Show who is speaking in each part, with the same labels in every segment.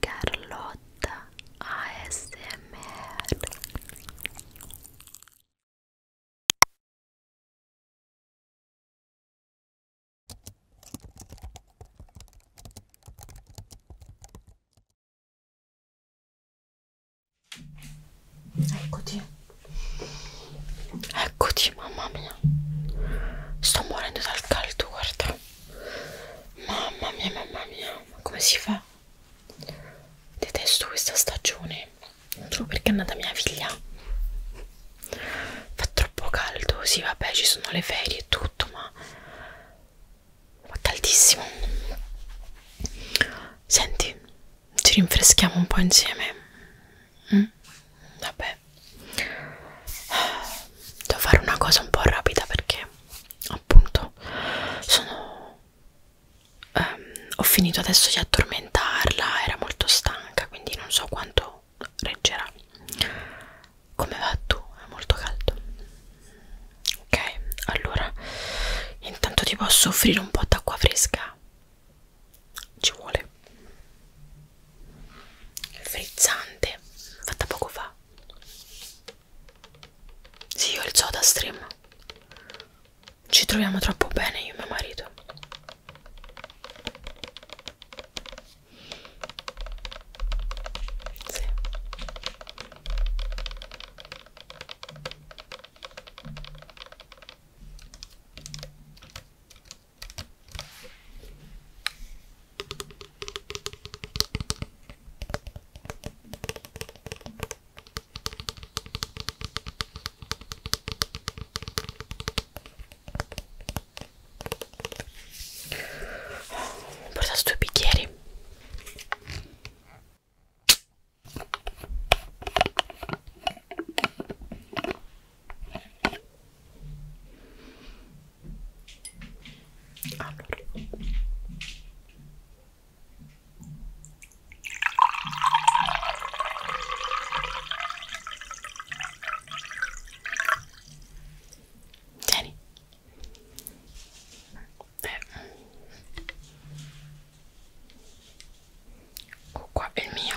Speaker 1: Carlotta ASMR Eccoti, eccoti, mamma mia, sto morendo dal caldo, guarda. Mamma mia, mamma mia, ma come si fa? Detesto questa stagione, solo perché è nata mia figlia. Fa troppo caldo, sì vabbè ci sono le ferie e tutto, ma fa caldissimo. Senti, ci rinfreschiamo un po' insieme. Mm? Vabbè, devo fare una cosa un po' rapida perché appunto sono ehm, ho finito adesso di addormentarla era molto stanca quindi non so quanto reggerà come va tu è molto caldo ok allora intanto ti posso offrire un po' d'acqua fresca ci vuole frizzante fatta poco fa sì io il soda stream ci troviamo troppo bene io e mio marito sì. Ho portato due bicchieri allora tieni Beh. qua è il mio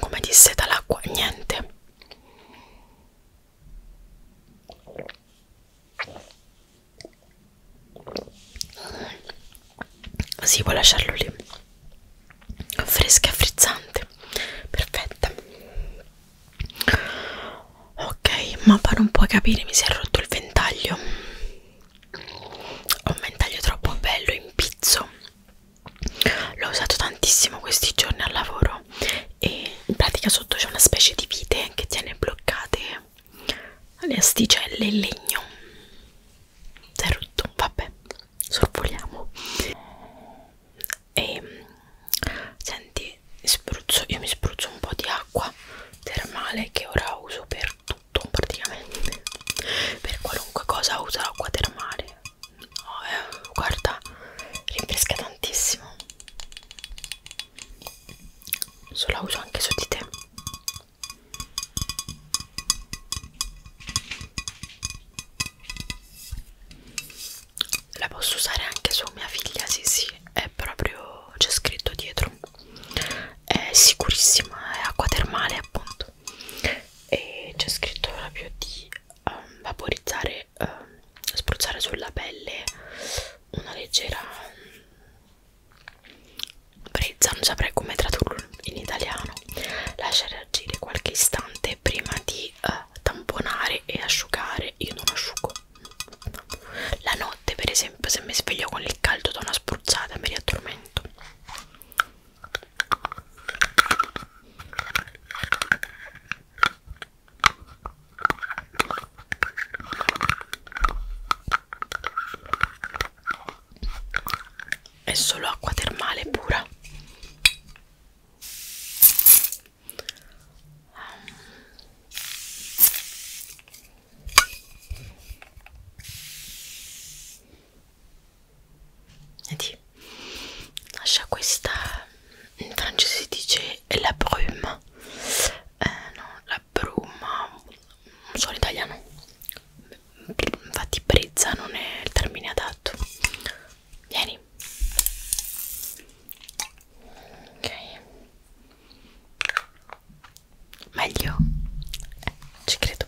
Speaker 1: come disse dall'acqua niente si può lasciarlo lì fresca e frizzante perfetta ok ma per un po' capire mi si è rotto il ventaglio ho un ventaglio troppo bello in pizzo l'ho usato tantissimo questi giorni al lavoro e in pratica sotto c'è una specie di vite che tiene bloccate le asticelle in legno si è rotto, vabbè, sorvoliamo e senti, spruzzo, io mi spruzzo un po' di acqua termale che ora uso per per tutto praticamente per qualunque cosa uso l'acqua termale oh, eh, guarda rinfresca tantissimo so la uso anche su di te la posso usare anche su mia figlia sì sì è proprio c'è scritto dietro è sicurissima è acqua termale appunto e c'è scritto proprio di um, vaporizzare, um, spruzzare sulla pelle una leggera brezza, um, non saprei come tradurlo in italiano, lasciare agire qualche istante prima di uh, tamponare e asciugare, io non asciugo la notte per esempio se mi sveglio con il caldo do una spruzzata mi riaddormento è solo acqua termale pura. Vedi, lascia questa, in francese si dice la brume, eh, no, la bruma, non so l'italiano, infatti brezza non è il termine adatto. Vieni. Ok meglio eh, ci credo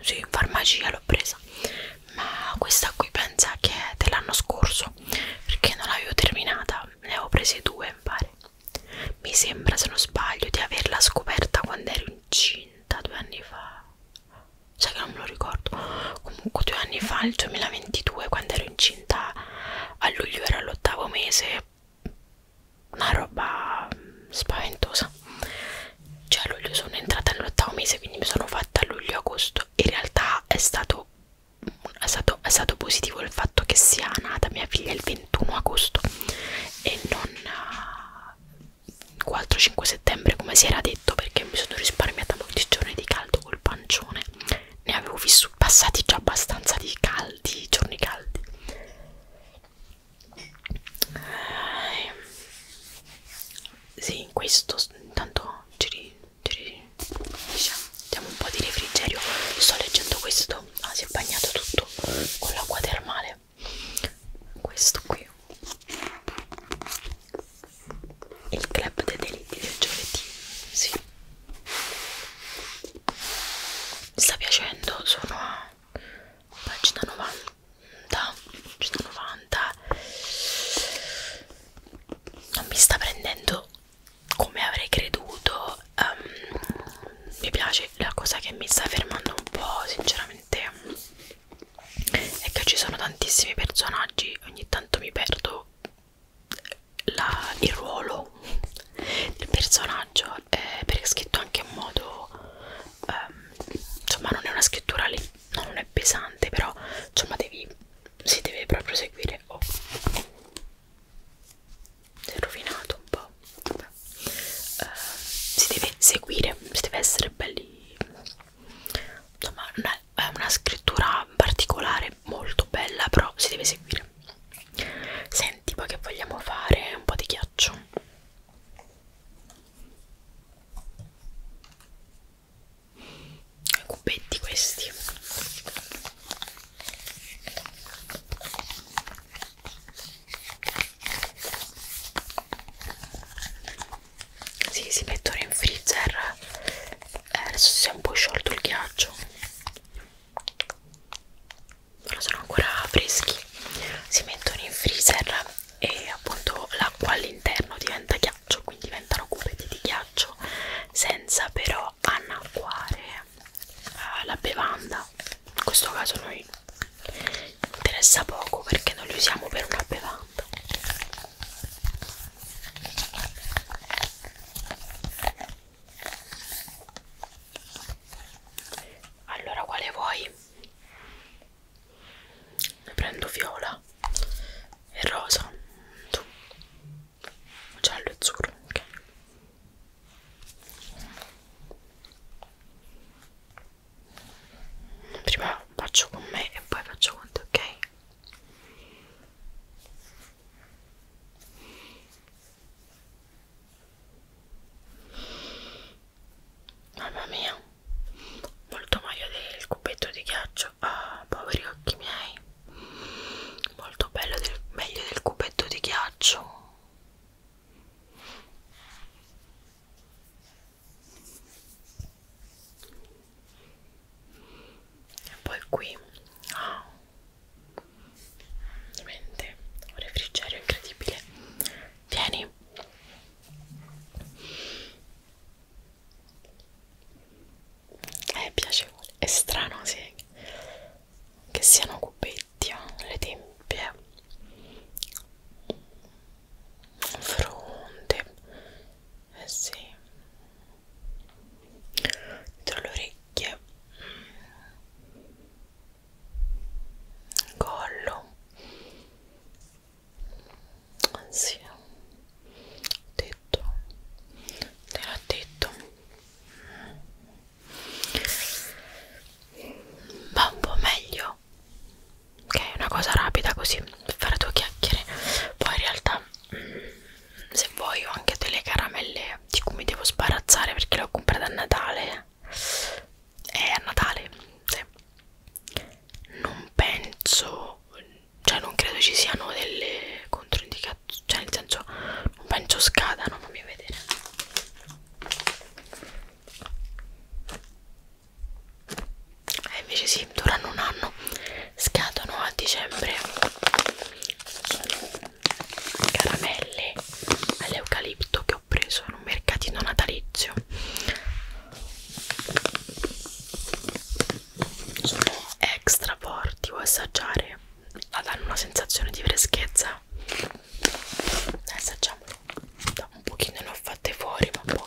Speaker 1: sì in farmacia l'ho presa ma questa qui pensa che è dell'anno scorso perché non l'avevo terminata ne avevo prese due mi pare mi sembra se non sbaglio di averla scoperta quando ero incinta due anni fa sai che non me lo ricordo comunque due anni fa il 2022 quando ero incinta a luglio era l'ottavo mese una roba mm, spaventosa cioè a luglio sono entrata nell'ottavo mese quindi mi sono fatta a luglio agosto in realtà è stato, è stato è stato positivo il fatto che sia nata mia figlia il 21 agosto e non 4-5 eh, settembre come si era detto perché mi sono risparmiata molti giorni di caldo col pancione ne avevo vissuti passati già abbastanza di caldi giorni caldi sì, in questo intanto giri, giri, diciamo, diamo un po' di refrigerio. Sto leggendo questo, ah, si è bagnato tutto con l'acqua termale. Questo qui. Il club dei delitti del giovedì, sì mi sta piacendo sono a pagina 90 pagina 90 non mi sta prendendo come avrei creduto um, mi piace la cosa che mi sta fermando un po' sinceramente è che ci sono tantissimi personaggi ogni tanto mi perdo la, il ruolo del personaggio eh, perché è scritto anche in modo ehm, insomma non è una scrittura lì no, non è pesante però insomma devi si deve proprio seguire oh si è rovinato un po' Vabbè. Eh, si deve seguire si deve essere belli insomma è una, una scrittura particolare molto bella però si deve seguire Senti, poi che vogliamo fare? Un po' di ghiaccio. Cubetti questi. Sì, si mettono in freezer. Eh, adesso si è un po' sciolto il ghiaccio loro sono ancora freschi si mettono in freezer e appunto l'acqua all'interno diventa ghiaccio quindi diventano cubetti di ghiaccio senza però anacquare uh, eh, la bevanda in questo caso noi interessa poco perché non li usiamo per una bevanda allora quale vuoi? prendo viola e rosa tu giallo e azzurro ok prima faccio con me e poi faccio con te ok Mamma mia, molto meglio del cubetto di ghiaccio. Ah, poveri occhi miei. Molto bello del, meglio del cubetto di ghiaccio. E poi qui. Oh veramente un refrigerio incredibile vieni è eh, piacevole è strano sì, che siano cubetti eh? le tempie fronte eh sì dietro le orecchie collo anzi tetto nella tetto va un po' meglio ok una cosa rapida così per fare due chiacchiere poi in realtà se vuoi ho anche delle caramelle di cui mi devo sbarazzare perché le ho comprate a Natale è eh, a Natale sì. non penso cioè non credo ci siano delle controindicazioni cioè nel senso non penso scadano fammi vedere e eh, invece sì durano un anno scadono a dicembre caramelle all'eucalipto che ho preso in un mercatino natalizio sono extra forti vuoi assaggiare danno una sensazione di freschezza assaggiamolo un pochino ne ho fatte fuori ma un po'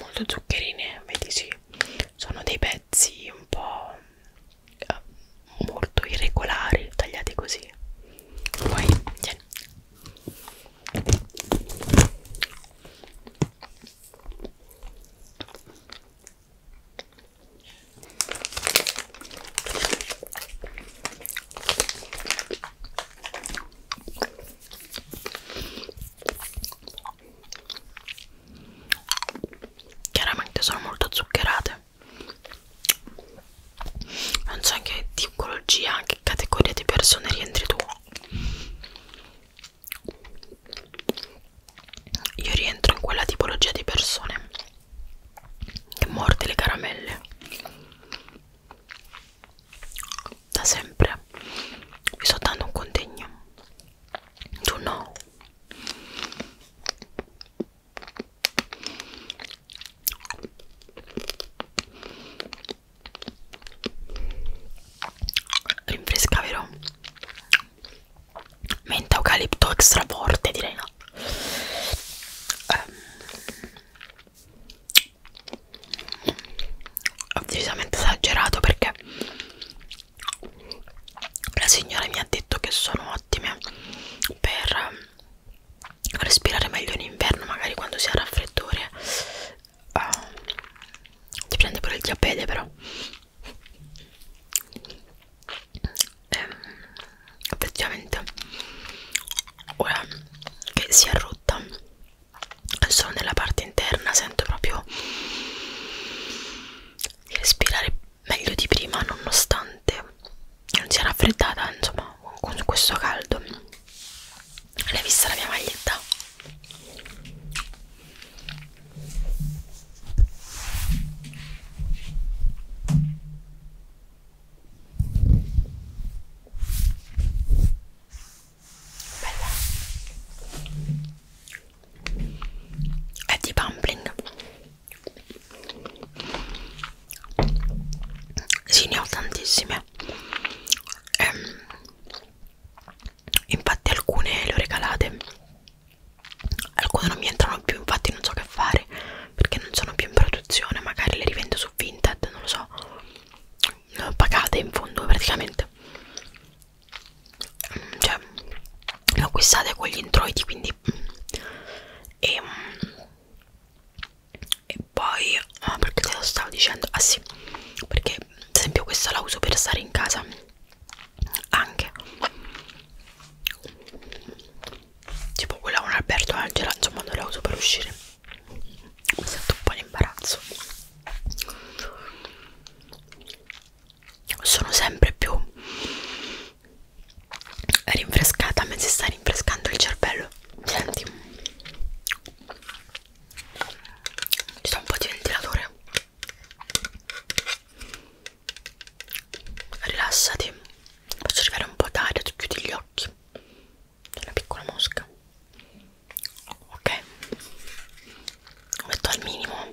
Speaker 1: molto zuccherine vedi sì sono dei pezzi un po' eh, molto irregolari tagliati così poi tieni chiaramente sono molto zuccherate non so in che tipologia che categoria di persone rientri tu io rientro in quella tipologia di persone che morde le caramelle da sempre vi sto dando un contegno tu no rinfresca vero? menta eucalipto extra forte direi no um, ho decisamente esagerato perché la signora mi ha detto che sono ottime per respirare meglio in inverno magari quando si ha raffreddore uh, ti prende pure il diabete però ehm, effettivamente ora che si è rotta solo nella parte interna sento proprio di respirare meglio di prima nonostante non sia raffreddata insomma con questo caldo l'hai vista la mia maglietta bella è di dumpling sì ne ho tantissime ehm, infatti alcune le ho regalate alcune non mi entrano più infatti non so che fare perché non sono più in produzione magari le rivendo su Vinted non lo so pagate in fondo praticamente mm, cioè le ho acquistate con gli introiti quindi mm. e, mm, e poi ah, perché te lo stavo dicendo ah sì perché ad esempio questa la uso per stare in casa anche tipo quella con Alberto Angela insomma non la uso per uscire mi sento un po' in imbarazzo sono sempre più rinfrescata mentre sta rinfrescando il cervello senti ci sta un po' di ventilatore rilassati faccio arrivare un po' d'aria tu chiudi gli occhi una piccola mosca ok lo metto al minimo